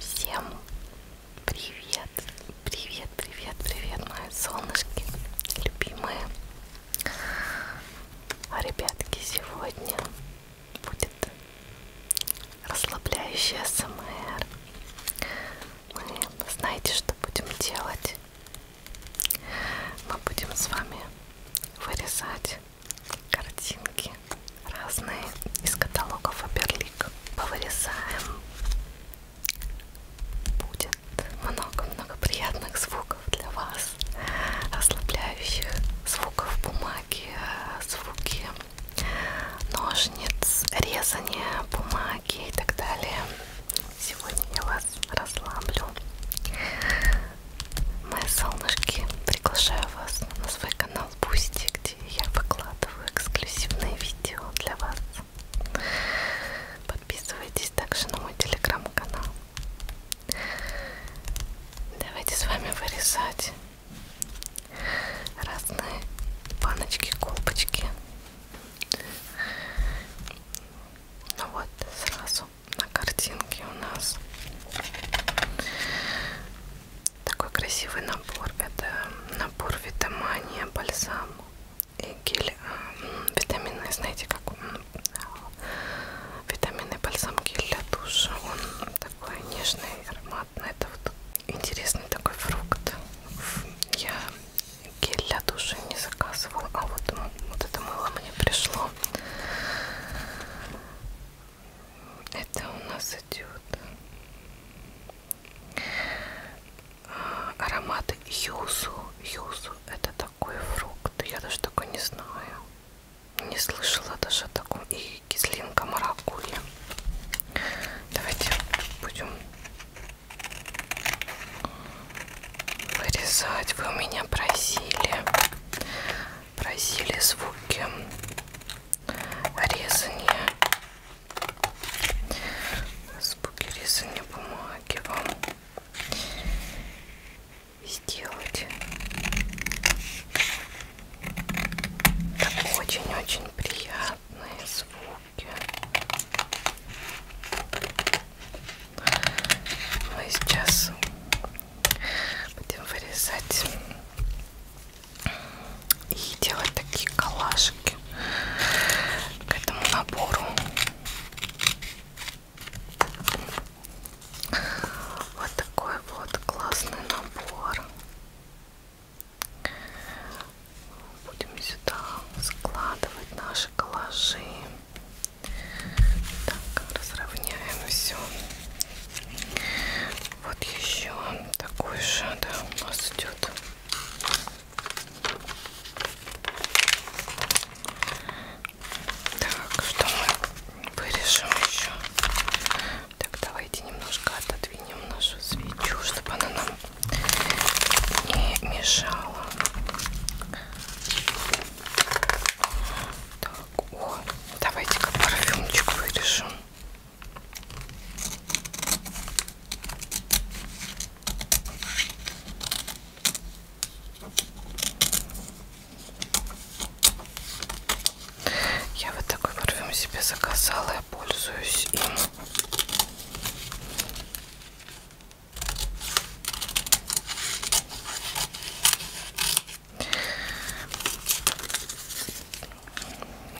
Всем привет, привет, привет, привет, мои солнышки, любимые. А, ребятки, сегодня будет расслабляющая СМР. Мы знаете, что будем делать? Мы будем с вами вырезать картинки разные из каталога Фаберлик. Повырезаем. Будет много-много приятных звуков для вас, расслабляющих звуков бумаги, звуки ножниц, резания бумаги и так далее. Сегодня я вас расслаблю. Мои солнышки, приглашаю вас на свой канал канал Бусти, где я выкладываю эксклюзивные видео для вас. Подписывайтесь также на мой телеграм-канал. Давайте с вами вырезать разные баночки, колбочки. Ну вот, сразу на картинке у нас такой красивый набор. Это набор витамания, бальзам и гель. А, витамины, знаете, как он? А, Витаминный бальзам гель для душа. Он такой нежный, ароматный. Это вот интересный такой фрукт. Я гель для души не заказывала, а вот, вот это мыло мне пришло. Это у нас идет а, аромат юсу. Юсу это такой фрукт. Я даже такой не знаю. Не слышала даже о таком. И кислинка маракуйя. Давайте будем вырезать. Вы у меня просили просили звуки резания звуки резания бумаги вам сделать так очень-очень приятные звуки мы сейчас будем вырезать и делать такие коллажики к этому набору вот такой вот классный набор будем сюда складывать наши коллажи так разровняем все вот еще такой же, да, у нас идет. Так, что мы вырежем еще? Так, давайте немножко отодвинем нашу свечу, чтобы она нам не мешала. Так. О, давайте-ка парфюмчик вырежем. Я вот такой парфюм себе заказала, я пользуюсь им.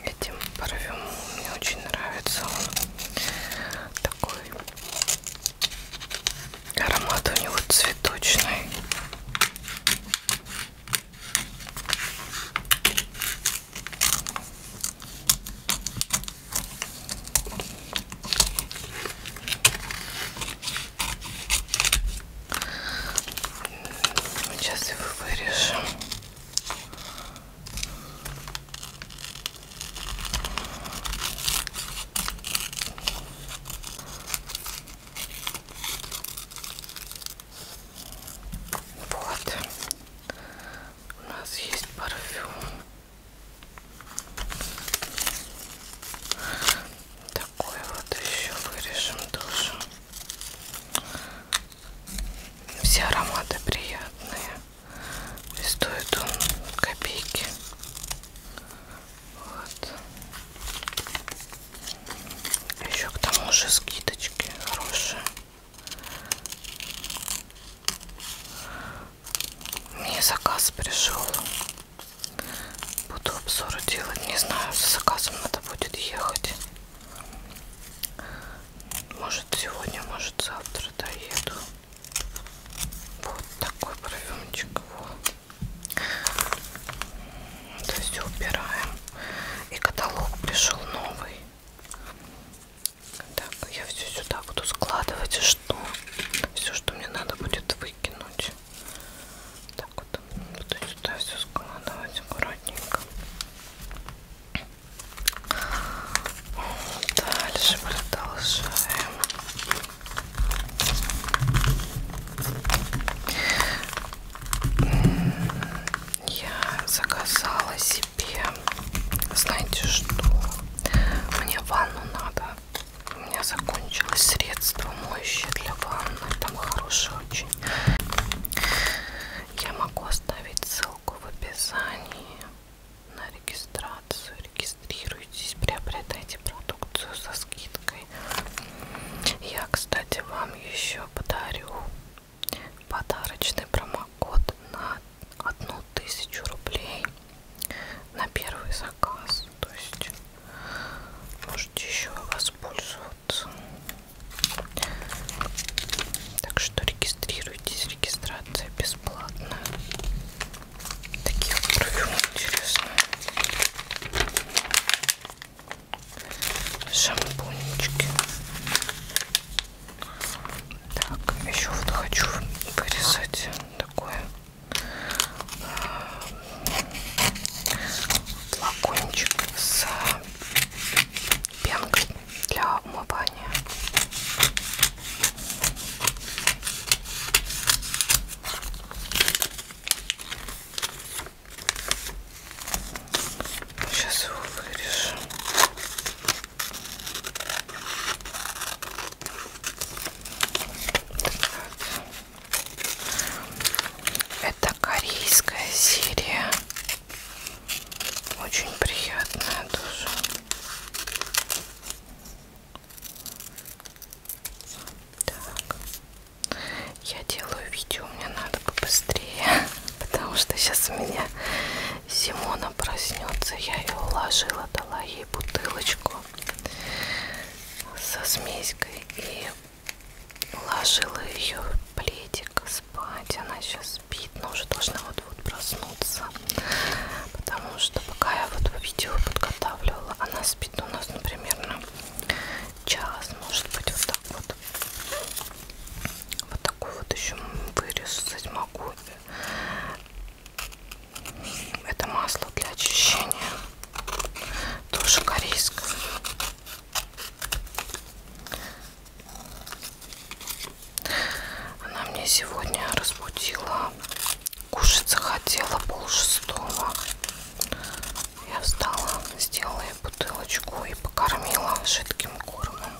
Этим парфюм мне очень нравится. Он такой аромат у него цветочный. Сейчас его вырежем. Вот. У нас есть парфюм такой вот еще вырежем тоже все ароматы приятные и стоит он копейки вот. еще к тому же скидочки хорошие мне заказ пришел Буду обзоры делать. Не знаю, с заказом надо будет ехать. Может сегодня, может завтра доеду. Вот такой парфюмчик. Вот. Это все убираем. И каталог пришел новый. Так, я все сюда буду складывать, что все, что мне надо будет выкинуть. Да, так вот буду сюда все складывать аккуратненько. Дальше продолжаем. Я заказала себе, знаете что, мне ванну надо у меня закончилось средство моющее для ванны, там хорошее очень. Я могу оставить ссылку в описании на регистрацию. Регистрируйтесь, приобретайте продукцию со скидкой. Я, кстати, вам еще подарю подарочный промокод на одну тысячу рублей на первый заказ то есть можете еще воспользоваться так что регистрируйтесь регистрация бесплатная такие вот парфюмы интересные шампунечки так еще вот хочу вырезать такое флакончик с пенкой для умывания. Сейчас его вырежу. Так. Это корейская серия. Очень приятная тоже. Так. Я делаю видео, мне надо побыстрее, потому что сейчас у меня Симона проснется. Я ее уложила, дала ей бутылочку со смеськой и Уложила ее в пледик спать. Она сейчас спит, но уже должна вот-вот проснуться. Потому что пока я вот видео подготавливала, она спит у нас, ну, примерно час, может быть, вот так вот. Вот такой вот еще вырезать могу. Это масло для очищения. Тоже корейская. Она мне сегодня разбудила. Кушать захотела пол шестого. Я встала, сделала ей бутылочку и покормила жидким кормом.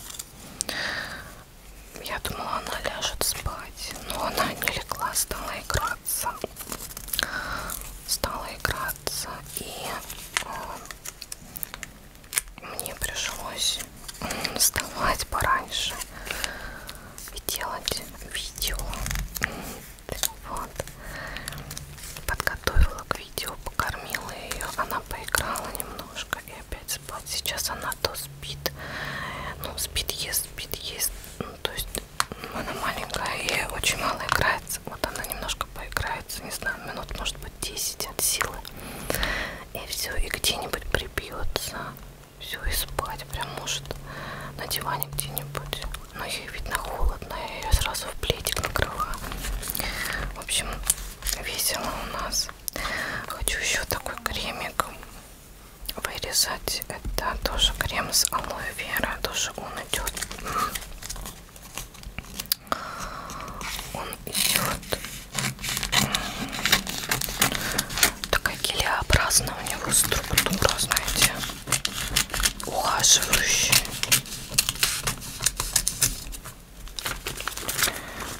Я думала, она ляжет спать, но она не легла, стала играть играться. Стала играться и э, мне пришлось вставать пораньше и делать видео. Вот. Подготовила к видео, покормила ее. Она поиграла немножко и опять спать. Сейчас она то спит. Ну, спит, ест, спит, ест. Ну, то есть она маленькая и очень мало играется. Вот она немножко поиграется, не знаю, минут, может быть, 10 от силы. И все, и где-нибудь прибьется. Все, и спать прям может на диване где-нибудь. Но ей видно холодно, я ее сразу в пледик накрыла. В общем, весело у нас. Хочу еще такой кремик вырезать здесь это тоже крем с алоэ вера, тоже он идет. Он идет. Такая гелеобразная у него структура, знаете, ухаживающая.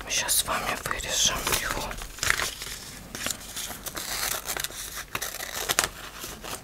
Мы сейчас с вами вырежем его.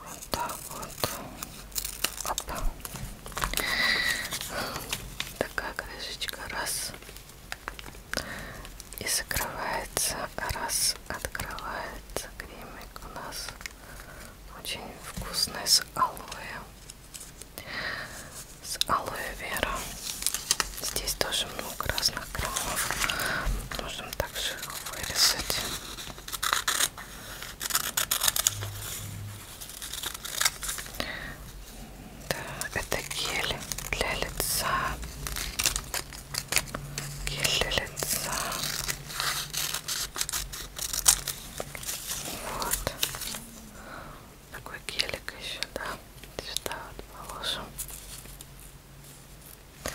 Вот так вот. Опа. Такая крышечка. Раз. И закрывается. Раз. Открывается. Кремик у нас очень вкусный с алоэ. С алоэ вера. Здесь тоже много много разных граммов. Можем также вырезать. Да, это гель для лица. Гель для лица. Вот. Такой гелик еще, да. Сюда вот положим. Вот.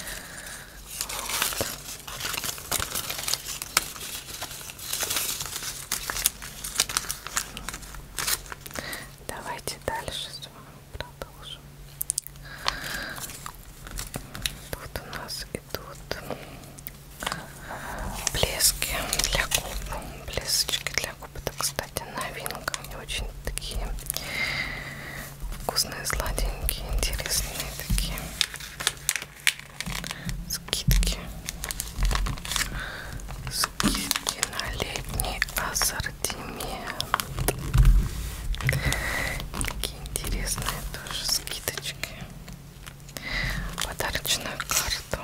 Давайте дальше с вами продолжим. Тут у нас идут блески для губ, блесочки для губ. Это, кстати, новинка. Они очень такие вкусные, сладенькие, интересные такие скидки. Скидки на летний ассортимент. Такие интересные тоже скидочки. Подарочную карту.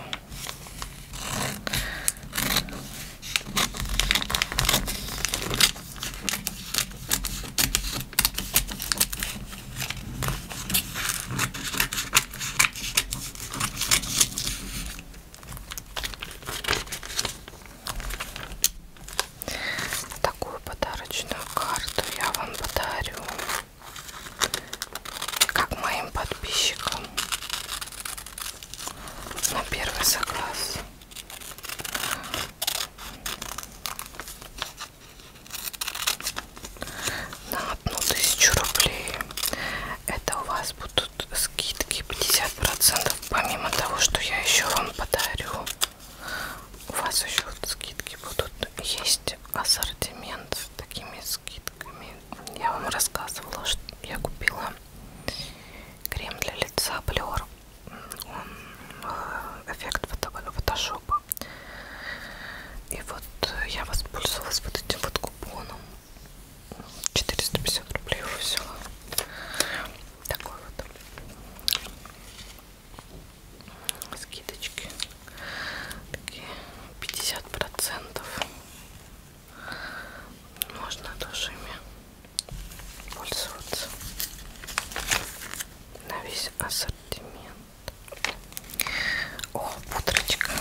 Такую подарочную карту я вам подарю, как моим подписчикам на первый заказ на одну тысячу рублей это у вас будут скидки 50 процентов помимо того что я еще вам подарю у вас еще вот скидки будут есть ассортимент с такими скидками я вам рассказывала что я купила крем для лица Blur он э, эффект ну, фотошопа. И вот э, я воспользовалась вот этим вот купоном. 450 рублей уже взяла. Такой вот. Скидочки. Такие 50 процентов. Можно тоже ими пользоваться на весь ассортимент. О, пудрочка,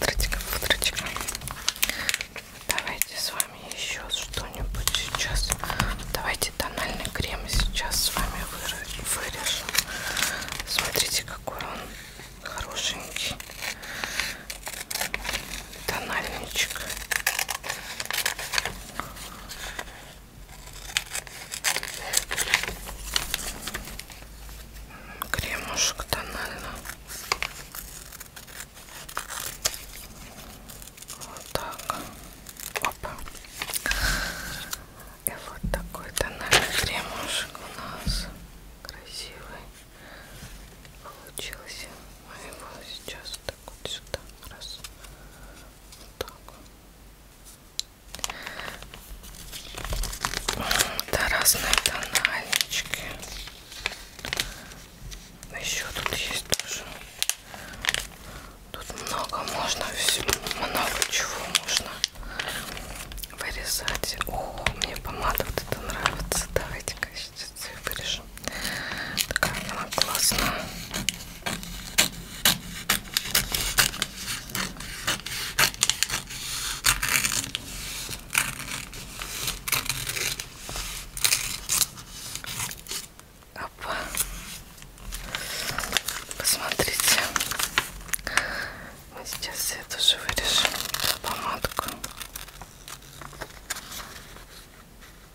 пудрочка, пудрочка. Давайте с вами еще что-нибудь сейчас. Давайте тональный крем сейчас с вами вырежем. Смотрите, какой он хорошенький тональничек. Кремушек тонально. Вот так. Опа. И вот такой тональный кремушек у нас красивый получился. Мы его сейчас так вот сюда, раз, вот так вот. Это разные тональнички. Еще тут есть тоже. Тут много можно, много чего можно вырезать. О, мне помада вот это нравится. Давайте-ка сейчас вырежем тоже. Такая она классная. Опа. Посмотрите. Мы сейчас я тоже вырежем помадку.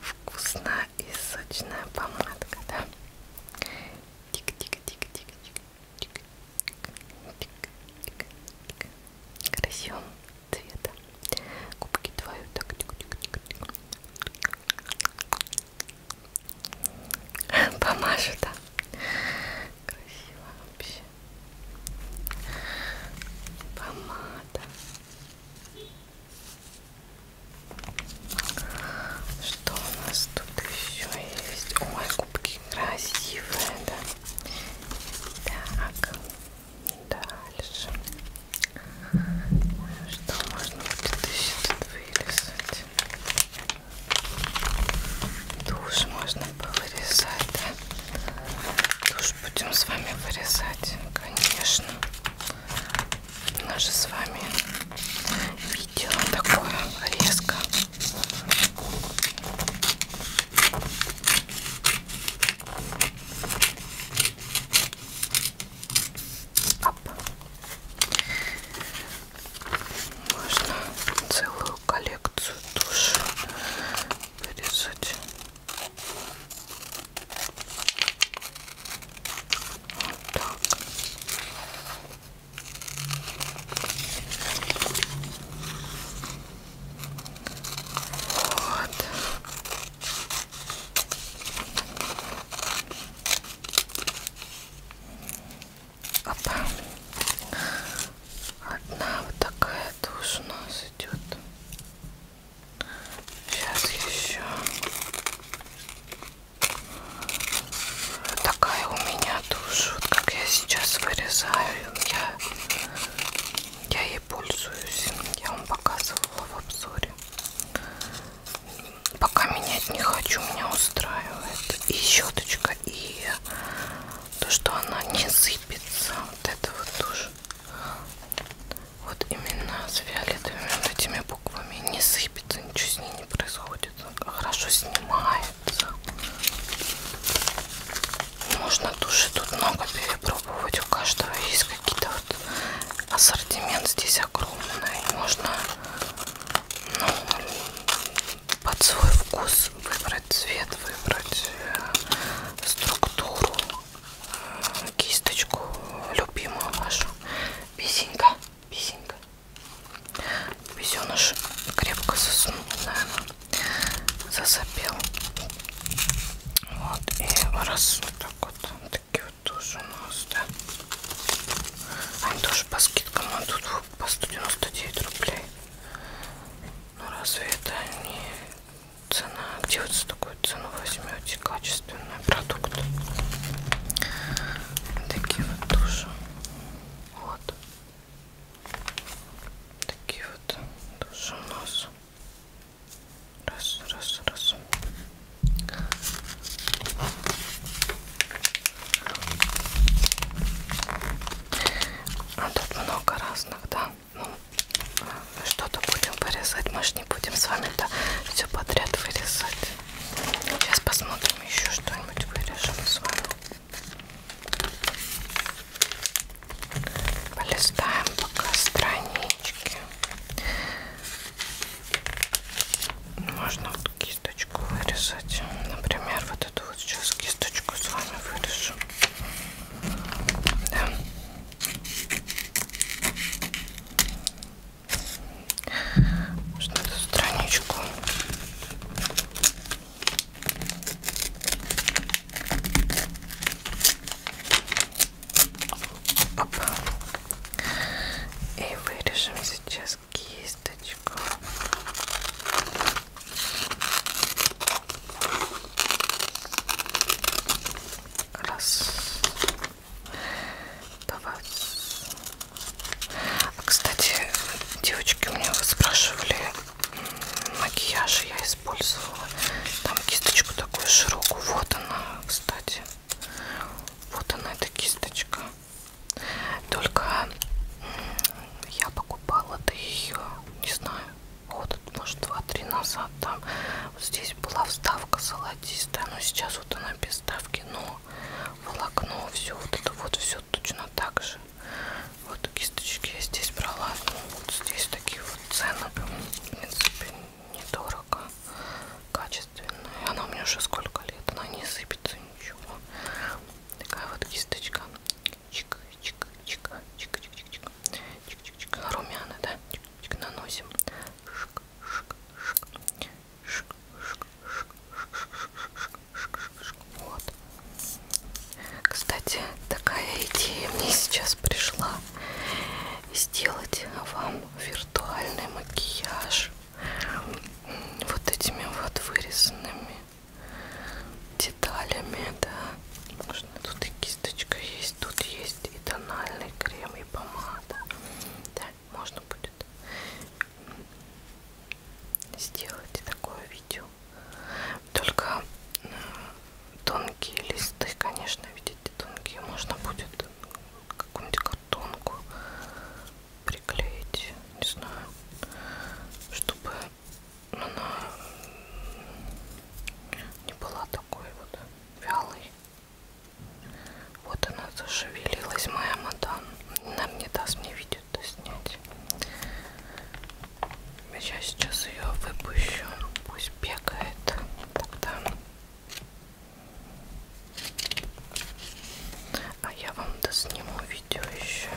вкусная и сочная помадка, да? Тик-тик-тик-тик-тик-тик-тик-тик-тик-тик. Красивым цветом. Губки твою так тик-тик-тик-тик. Помажу, да? Красиво вообще. Помада. Что у нас тут еще есть? Ой, кубки красивые, да. Так, дальше. А что можно будет еще тут вырезать? Душ можно повырезать, да? Душ будем с вами вырезать, конечно наше с вами видео такое резко. Оп. Можно целую коллекцию душ вырезать вот так. Вот. Опа. Одна вот такая тоже у нас идет. Сейчас еще. Такая у меня тушь, вот как я сейчас вырезаю, я, я ей пользуюсь, я вам показывала в обзоре. Пока менять не хочу, меня устраивает и щеточка, и то, что она не сыпется, вот это вот тоже вот именно с фиолетовыми вот этими буквами не сыпется, ничего с ней не происходит, хорошо снимается. Можно туши тут много перепробовать, у каждого есть какие-то вот ассортимент здесь огромный, можно ну, под свой вкус выбрать цвет, выбрать э, структуру кисточку любимую нашу. Песенька, песенька. Песеныш крепко заснул, наверное, засопел. Вот, и раз вот так вот, такие вот тоже у нас, да. А они тоже по скидкам, а тут по 199 рублей. Ну разве это не цена где вот за такую цену возьмете качественный продукт такие вот тоже вот такие вот тоже у нас раз раз раз а тут много разных да ну, что-то будем вырезать. Мы же не будем с вами это все подряд вырезать. Сейчас посмотрим еще что-нибудь вырежем с вами. Полистаем пока странички. Можно вот кисточку вырезать. Например, вот эту вот сейчас кисточку с вами вырежу. Да что-то страничку Оп. и вырежем сейчас кисточку раз два а, кстати девочки у меня спрашивали макияж я использовала там кисточку такую широкую вот она кстати вот она эта кисточка только я покупала-то ее не знаю год года, может, два-три назад там вот здесь была вставка золотистая, но сейчас вот она без вставки, но волокно, все вот это вот все точно так же. Вот кисточки я здесь брала, ну, вот здесь такие вот цены, в принципе, недорого, качественная. Она у меня уже сколько лет, она не сыпется ничего. Такая вот кисточка. Чик, чик, чик, чик, чик, чик, чик, чик, чик, чик, румяна, да? Чик, чик, наносим. Вот. Кстати, такая идея мне сейчас пришла. Сделать вам виртуальный макияж вот этими вот вырезанными деталями, да. Можно тут и кисточка есть есть тут есть и тональный крем и помада да, можно будет сделать такое видео только э, тонкие листы конечно видите тонкие можно будет какую-нибудь картонку приклеить не знаю чтобы она не была такой вот вялой вот она зашевелилась, моя мадам. Нам не даст мне видео-то снять. Я сейчас ее выпущу. Пусть бегает. Тогда... А я вам досниму видео еще.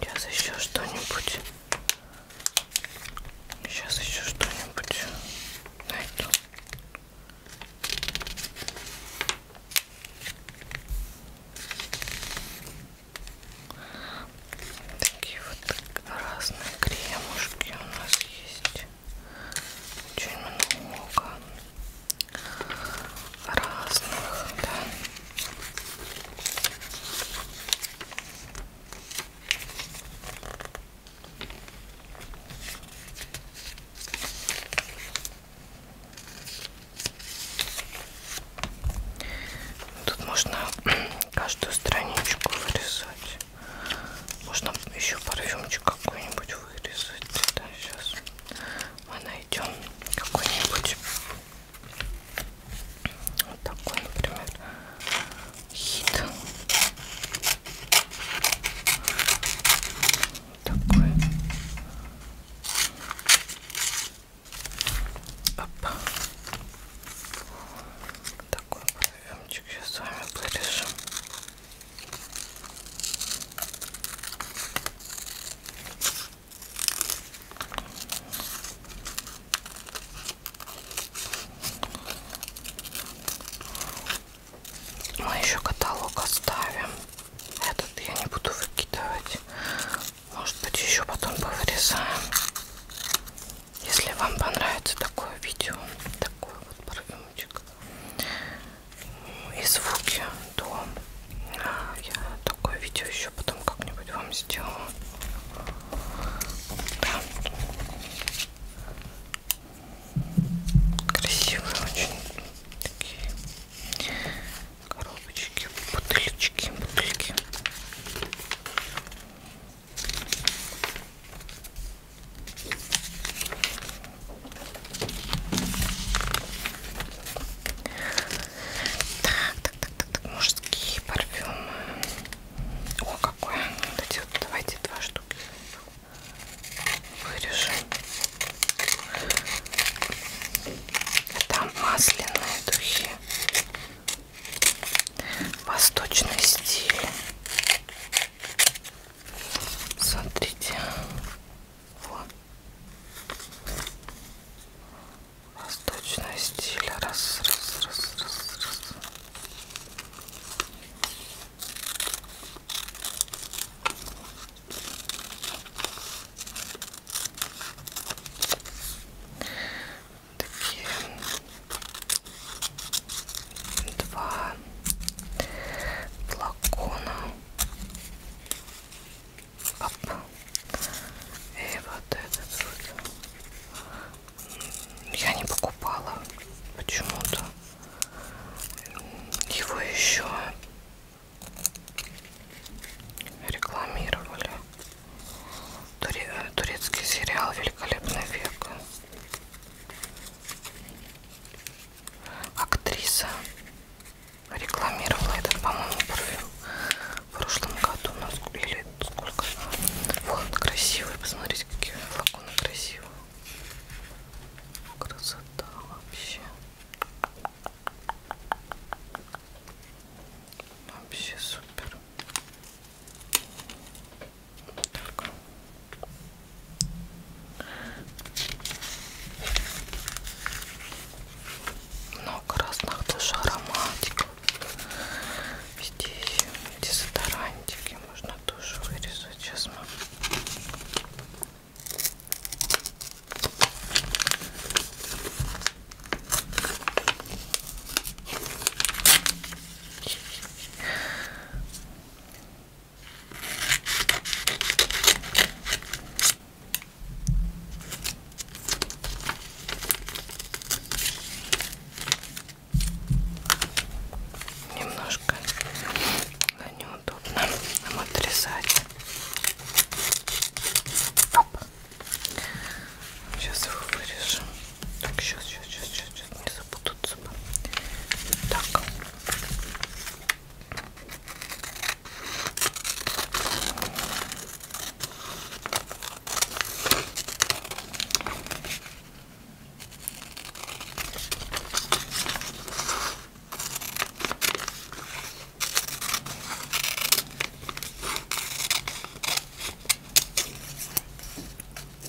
Сейчас еще что-нибудь Сейчас еще что-нибудь найду. Такие вот разные кремушки у нас есть. Очень много разных, да. Тут можно каждую страничку вырезать. Можно еще парфюмчик какой-нибудь вырезать. Да, сейчас мы найдем какой-нибудь. Вот такой, например, хит. Вот такой. Оп. Такой проемчик сейчас с вами вырежем. Мы еще каталог оставим. Этот я не буду выкидывать. Может быть, еще потом повырезаем. Если вам понравится такое видео, такой вот парфюмчик и звуки, то а, я такое видео еще потом как-нибудь вам сделаю. Да. Красивые очень такие коробочки, бутылечки, бутыльки. Так, так, так, так, так, мужские парфюмы. О, какой. Вот эти вот, давайте два штуки вырежем. Это масляные духи. Восточный стиль. Смотрите. Вот восточного стиля. Раз, раз, раз, раз, раз. Такие два флакона. Оп. И вот этот вот я не покупала почему-то. Его еще рекламировали. Турецкий сериал «Великолепный век». Актриса рекламировала этот, по-моему, парфюм в прошлом году, или сколько. Вот, красивые, посмотрите, какие флаконы красивые. Красота вообще. Вообще супер. Так. Много разных тоже ароматиков. Здесь дезодорантики можно тоже вырезать. Сейчас мы Немножко неудобно нам отрезать. Оп. Сейчас его вырежем. Так, сейчас, сейчас, сейчас, сейчас, сейчас не запутаться бы. Так.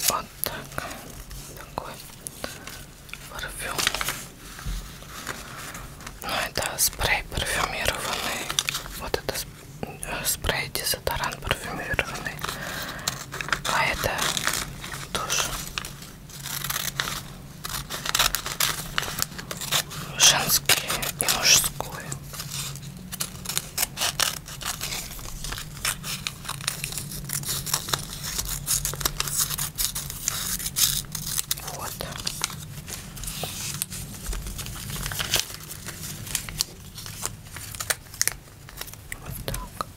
Вот так. Такой парфюм. Ну, это спрей парфюмированный. Вот это спрей спрей дезодорант парфюмированный а это тоже женский и мужской вот вот так.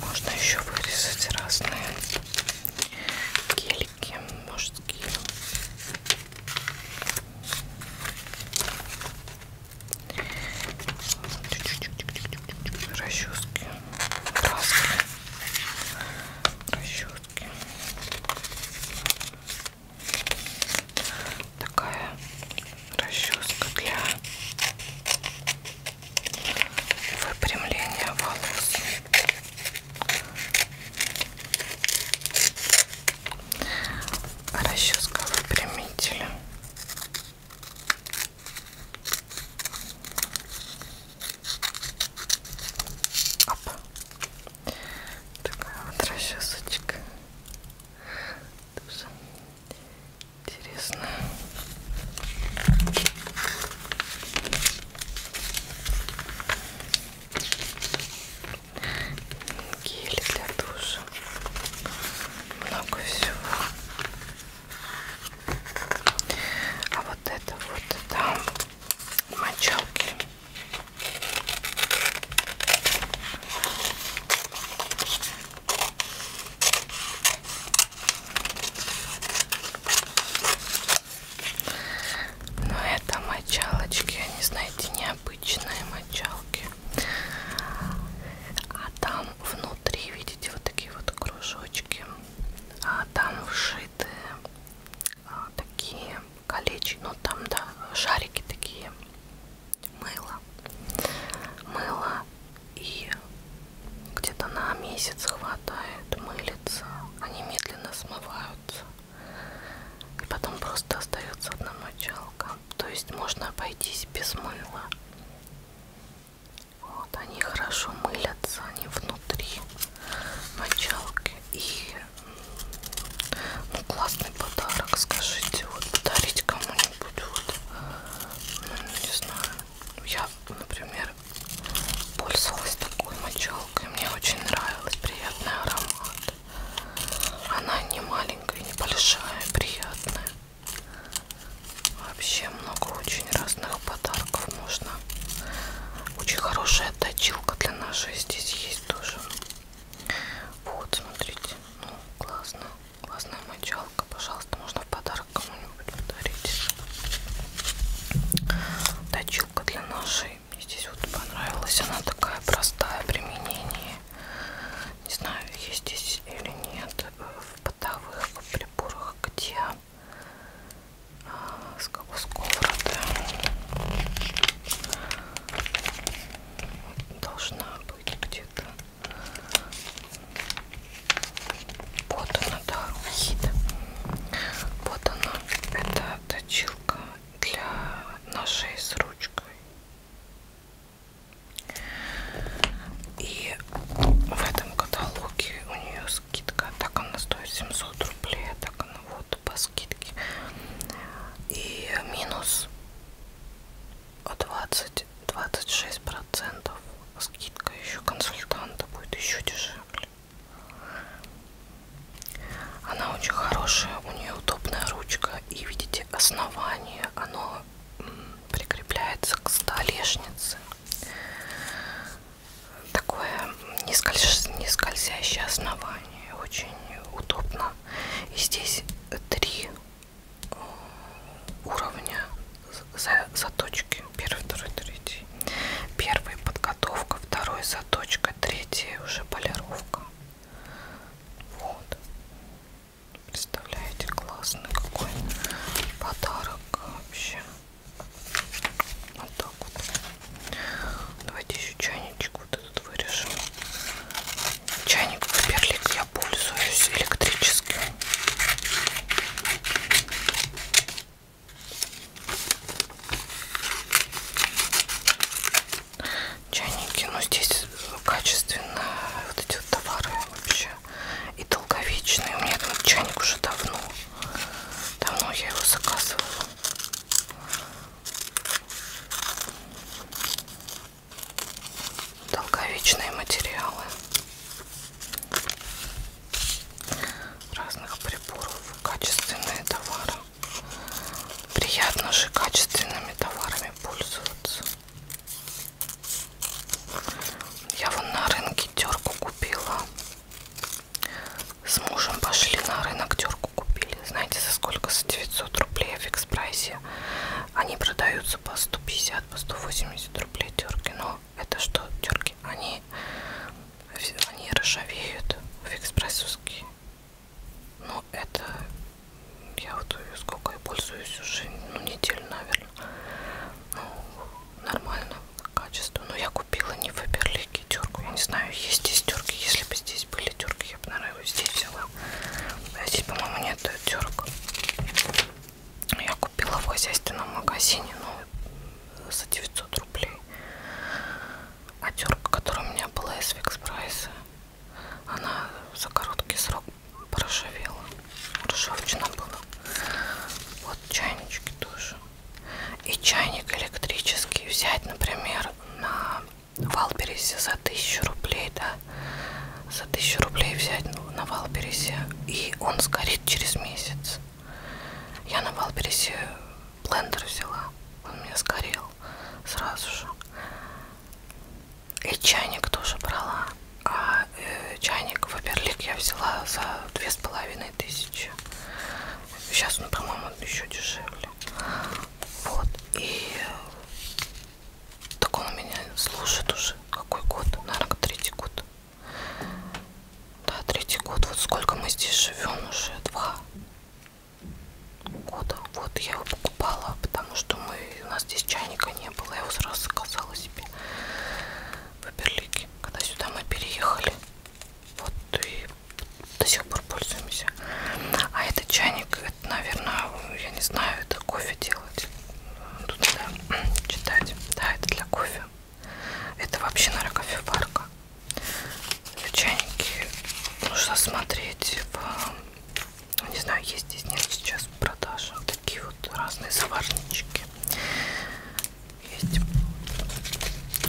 Можно еще вырезать разные гелики мужские. Расчески, краски, расчески. Такая расческа для выпрямления волос. Расческа выпрямителя. Оп. Такая вот расчесочка. Тоже интересно. Гели для душа. Много всего. А вот это вот там мочалки. Но это мочалочки, они, знаете, необычные мочалки. А там внутри, видите, вот такие вот кружочки. А там вшиты а, такие колечек, ну там, да, шарики такие, мыло, мыло и где-то на месяц хватает, мылится, они медленно смываются, и потом просто остается одна мочалка, то есть можно обойтись без мыла. Вот, они хорошо мылятся, они внутри мочалки. И ну, классный подарок, скажите, вот подарить кому-нибудь, вот, ну, не знаю. Ну, я, например, пользовалась такой мочалкой, мне очень нравилась, приятный аромат. Она не маленькая, не большая, приятная. Вообще много очень разных подарков можно. Очень хорошие такая точилка для нашей здесь есть тоже. Вот, смотрите, ну классно, классная мочалка, пожалуйста, можно в подарок кому-нибудь подарить. Точилка для нашей, мне здесь вот понравилась, она такая простая применение. Не знаю, есть здесь или нет э, в бытовых приборах, где с сковороды должна быть где-то вот она, да, рухида вот она, это точилка для ножей с ручкой и в этом каталоге у нее скидка так она стоит 700 рублей так она вот что-то по скидке. И минус 20-26 процентов скидка еще консультанта будет еще дешевле. Она очень хорошая, у нее удобная ручка и видите основание, оно прикрепляется к столешнице такое не скользящее основание, очень удобно. И здесь три э, уровня заточки. Первый, второй, третий. Первый подготовка, второй заточка, третий уже полировка. Вот. Представляете, классный какой подарок вообще. Вот так вот. Давайте еще чайничек вот этот вырежем. Чайник Перлик я пользуюсь электрическим. Чайники, но ну, здесь качественно вот эти вот товары вообще и долговечные. У меня этот чайник уже давно. Давно я его заказывала. Долговечные материалы разных приборов, качественные товары. Приятно же качественными товарами пользоваться. Я вон на рынке терку купила. С мужем пошли на рынок, терку купили. Знаете, за сколько? За 900 рублей в экспрессе. Они продаются по 150, по 180 рублей терки. Но это что, терки? Они, они ржавеют в экспрессовские. Но ну, это я вот сколько я пользуюсь уже, ну, неделю, наверное. Ну, нормально качество. Но я купила не в Фаберлике все-таки терку. Я не знаю, есть здесь терки. Если бы здесь были терки, я бы, наверное, его здесь взяла. А здесь, по-моему, нет терок. Я купила в хозяйственном магазине, но ну, за 900 рублей. А терка, которая у меня была из Викспрайса, она за короткий срок поржавела. Ржавчина была. Вот чайнички тоже и чайник электрический взять, например, на Валберисе за тысячу рублей, да, за тысячу рублей взять ну, на Валберисе, и он сгорит через месяц. Я на Валберисе блендер взяла, он мне сгорел сразу же. И чайник тоже брала, а э, чайник Фаберлик я взяла за две с половиной тысячи. Сейчас, ну, по-моему, он еще дешевле. Вот. И э, так он меня слушает уже. Какой год? Наверное, третий год. Да, третий год. Вот сколько мы здесь живем уже? Два года. Вот я его покупала, потому что мы, у нас здесь чайника не было. Я его сразу заказала себе в Берлике. Когда сюда мы переехали, вот и до сих пор пользуемся. А этот чайник, это, наверное, я не знаю, это кофе делать. Тут надо читать. Да, это для кофе. Это вообще, наверное, кофеварка. Чайники нужно смотреть в... Не знаю, есть здесь, нет сейчас в продаже. Такие вот разные заварнички есть.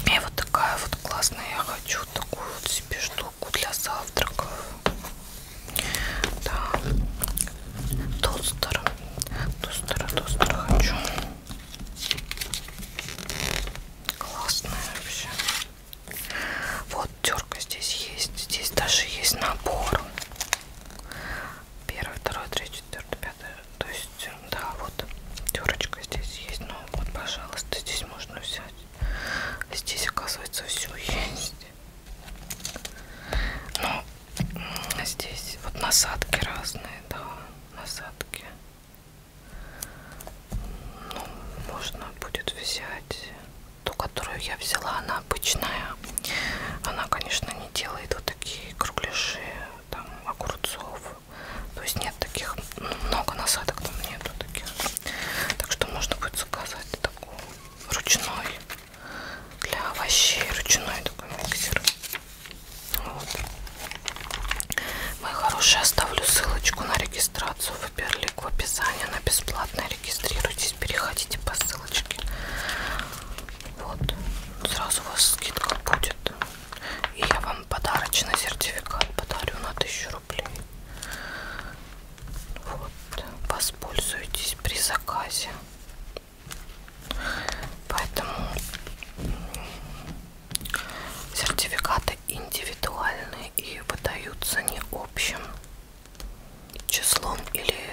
И вот такая вот классная. Я хочу такую вот себе штуку для завтраков. Да. Тостер. Тостер, тостер хочу. Классная вообще. Вот терка здесь есть. Здесь даже есть набор. Первый, второй, третий, четвертый, пятый, то есть да вот терочка здесь есть но ну вот пожалуйста здесь можно взять здесь оказывается все есть но ну, здесь вот насадки разные да насадки ну, можно будет взять ту которую я взяла она обычная она конечно не делает вот такие кругляши там огурцов то есть нет таких, ну, много насадок там нету таких. Так что можно будет заказать такой ручной для овощей, ручной такой миксер. Вот. Мои хорошие, оставлю ссылочку на регистрацию в Берлик в описании. Она бесплатная. Регистрируйтесь, переходите по ссылочке. Вот. Сразу у вас скидка будет. И я вам подарочный сертификат подарю на 1000 рублей. Вот, воспользуйтесь при заказе. Поэтому сертификаты индивидуальные и выдаются не общим числом или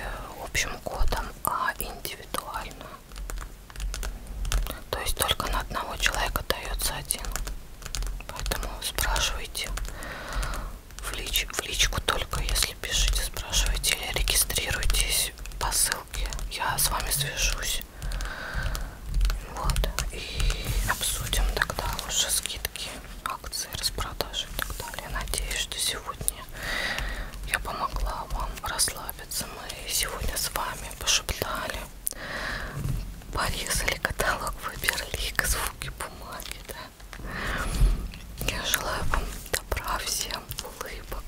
общим кодом, а индивидуально. То есть только на одного человека дается один. Поэтому спрашивайте в, лич, в личку только, если пишите, спрашивайте или регистрируйтесь по ссылке. Я с вами свяжусь. Вот. И обсудим тогда лучше скидки, акции, распродажи и так далее. Надеюсь, что сегодня я помогла вам расслабиться. Мы сегодня с вами пошептали порезали каталог выберли звуки бумаги да? я желаю вам добра всем улыбок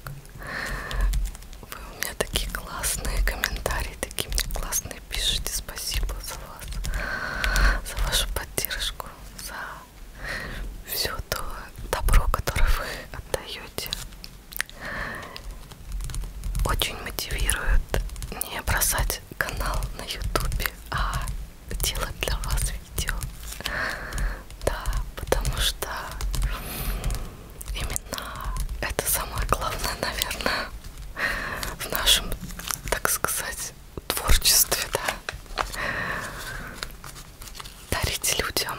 вы у меня такие классные комментарии такие мне классные пишите спасибо за вас за вашу поддержку за все то добро которое вы отдаете очень мотивирует не бросать канал на ютубе, а делать для вас видео. Да, потому что именно это самое главное, наверное, в нашем, так сказать, творчестве, да. Дарить людям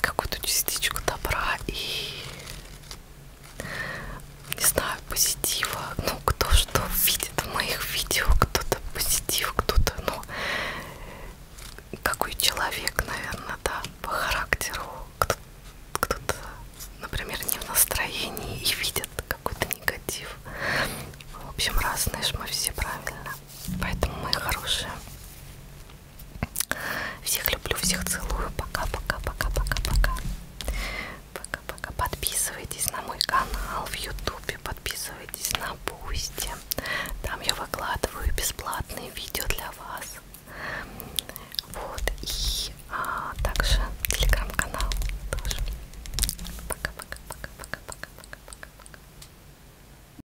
какую-то частичку добра и не знаю, позитива. Ну, кто что видит в моих видео, кто-то позитив, кто-то, ну, какой человек, наверное, да, по характеру. Кто-то, например, не в настроении и видит какой-то негатив. В общем, разные ж мы все правильно. Поэтому, мои хорошие, всех люблю, всех целую. Пока-пока-пока-пока-пока. Пока-пока. Подписывайтесь на мой канал в Ютубе. Подписывайтесь на Бусти. Там я выкладываю бесплатные видео для вас. Вот. И а, также телеграм-канал тоже. Пока-пока-пока-пока-пока-пока.